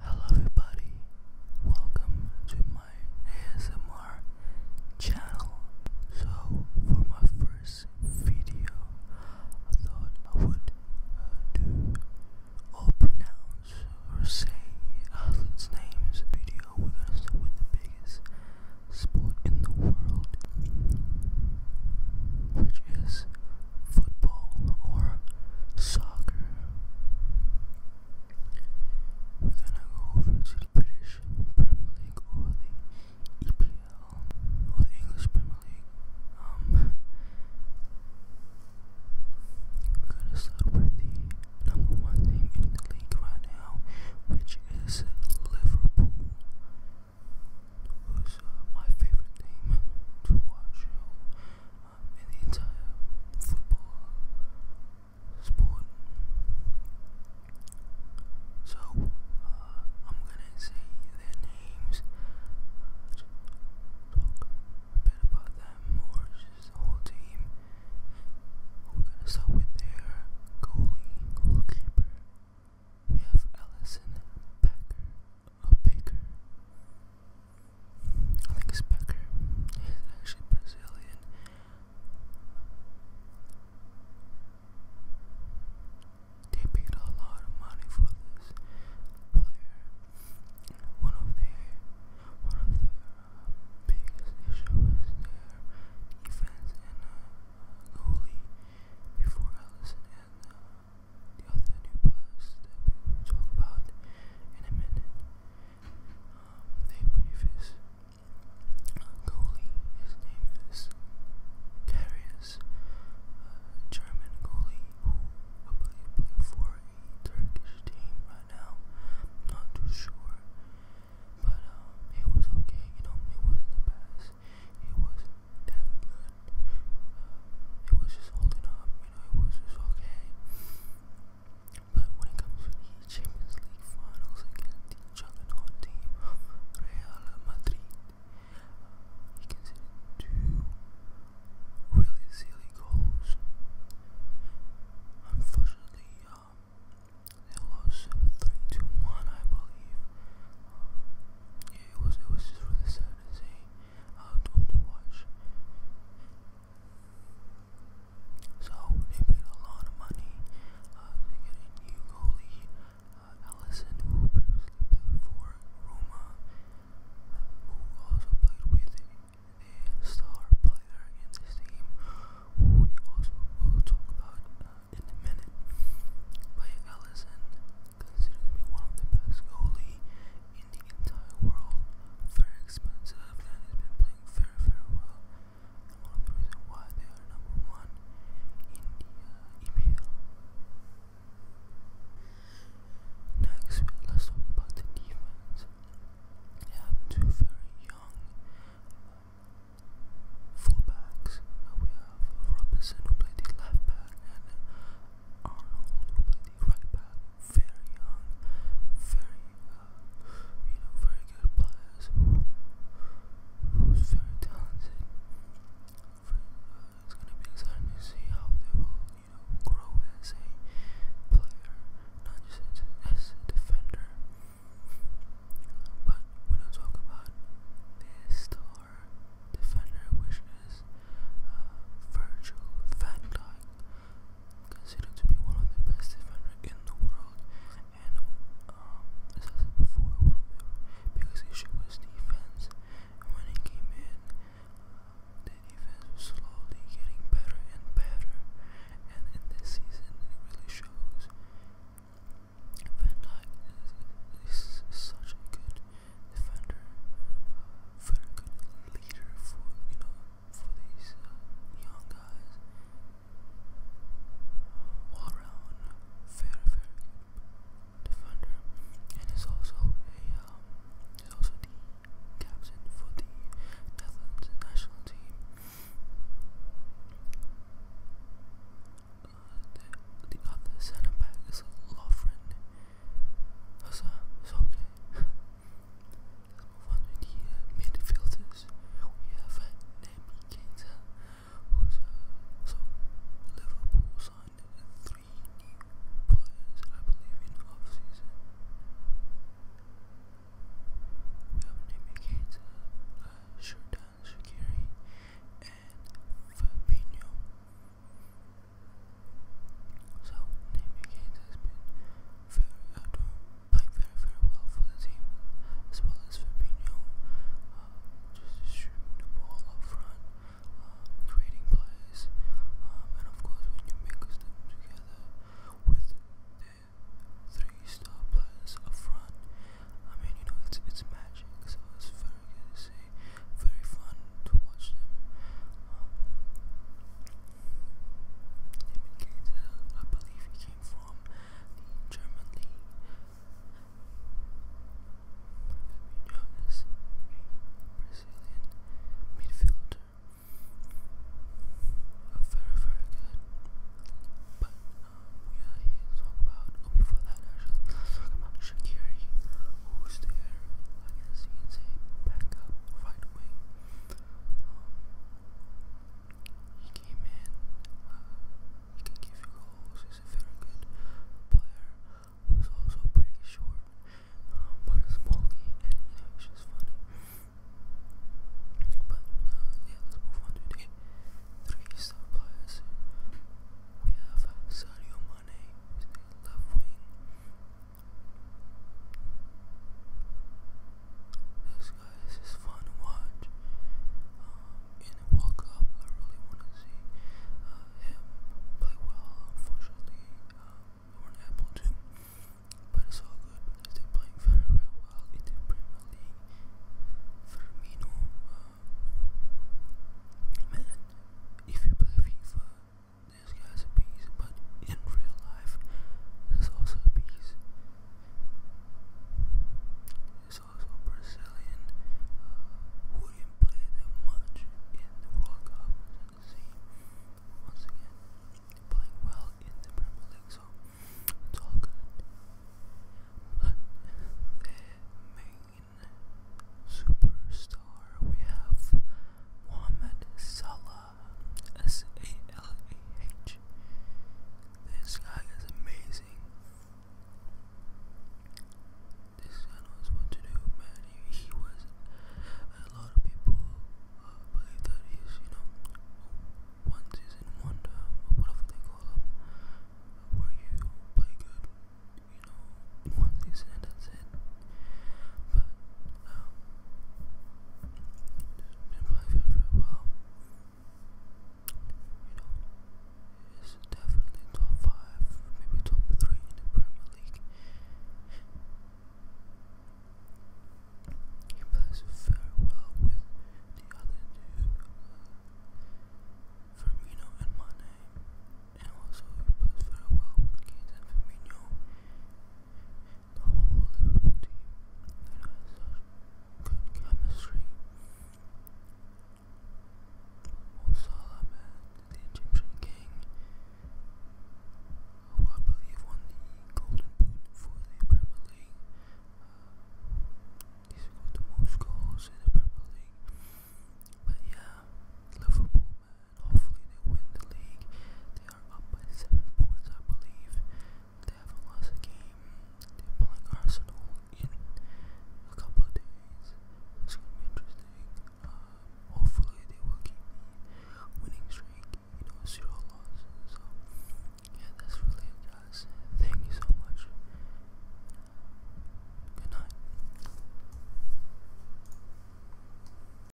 Hello everybody, welcome to my ASMR channel. So for my first video, I thought I would uh, do or pronounce or say athletes' names. Video we're gonna start with the biggest sport in the world, which is football or soccer. We're gonna go over to the British Premier League or the EPL or the English Premier League. Um, the number team in the league right now, which is Liverpool. Who's uh, my favorite team to watch? in the entire football sport. So I'm gonna say their names, uh, talk a bit about them or just the whole team. We're gonna start with their goalie, goalkeeper. We have Allison Packer a baker. I think it's Becker. He's actually Brazilian. They paid a lot of money for this player. One of their uh, biggest issues is their defense and uh, goalie before Ellison and uh, the other new players that we talk about in a minute. Um, they previous goalie, his name is Darius, uh, German goalie who I believe played for a Turkish team right now. not too sure. But it um, was okay, you know, it wasn't the best. It wasn't that good. it um, was just holding up you it was just okay. But when it comes to the Champions League finals against the juggernaut team, Real Madrid, he conceded two really silly goals. Unfortunately, um, they 3 2 1, I believe. yeah, it was, it was just really sad to see, uh, to, to watch. So they paid a lot of money uh, to get a new goalie, Allison, uh, who played for Roma, uh, who also played with a star player in this team, who we also will talk about in a minute. But Allison, considered to be one of the best goalie in the entire world. Very expensive and it been playing very, very the reasons why they are number one in the uh, Next, let's talk about the defense. They have two very young uh, fullbacks. Uh, we have Robinson who played the left back uh, Arnold who played right back, very young, very, you know, very good players, who's very talented. it's gonna be exciting to see how they will, you know, grow as a player, not just as a defender. But we don't talk about the star defender, which is Virgil van Dijk considered to be one of the best defenders in the world. And um, as I said before, one of their biggest defense. when he came in, uh, the defense slowly getting better and better. And in this season, it really shows. Van Dyke is, such a good defender, very good leader for you know for these uh, young guys. around, very very defender, and is also a um, also the captain for the Netherlands national team. Uh, the, other centre back is Lovren. That's, uh, it's okay. Let's the uh, midfielders. We have uh, Naby Keita, who's uh, Liverpool signed three new players, I believe, in off-season. We have Naby Keita, uh, Sheridan and Fabinho. So Naomi Gaines has been very, uh, doing, playing very, very well for the team, as well as Fabinho, uh, just shooting the ball up front, uh, creating plays, um, and of course when you mix them together with the three star players up front, I mean you know it's it's magic, so it's very good to see, very fun to watch them. Um, I believe he came from the German Brazilian midfielder. Uh, very, very good. But um, we are here to talk about, before that, actually, let who's there, I guess you can backup right wing. Um, he came in, uh, he can give you goals, he's a very good player who's also pretty short, um, but a small and it's just funny. But, uh, let's move on to the three star players. We have Sadio Mane, who's this guy is just fun to watch. in um, the World Cup, I really want to see uh, him play well. Unfortunately, um, we but it's all good they're playing very, well in the Firmino, uh, man, if you play FIFA, this guy's a beast, but in real life, he's also a beast. He's also a Brazilian uh, who didn't play that much in the World Cup, as you can see. Once again, playing well in the Premier League, so it's all good. But their main superstar, we have Mohamed Salah. S A L A H. This guy is amazing. This guy knows what to do, man. He, was. A lot of people uh, believe that he's, you know, one season wonder, whatever they call him, where you play good, you know, one season and that's it um, been playing for, you know, it's definitely top 5, maybe top 3 in the Premier League. He plays very well with the other two, Firmino and Mane, and also plays very well with Keita the whole Liverpool good chemistry. Mo the Egyptian king, who I believe won the Golden for the Premier League. Uh, he scored the most goals in the Premier League. But yeah, Liverpool. Hopefully they win the league. They are up by seven points, I believe. They haven't lost a game. They're playing Arsenal in a couple of days. It's gonna be interesting. Um, hopefully they will keep winning streak. You zero losses. yeah, that's really it, guys. Thank you so much. Good night.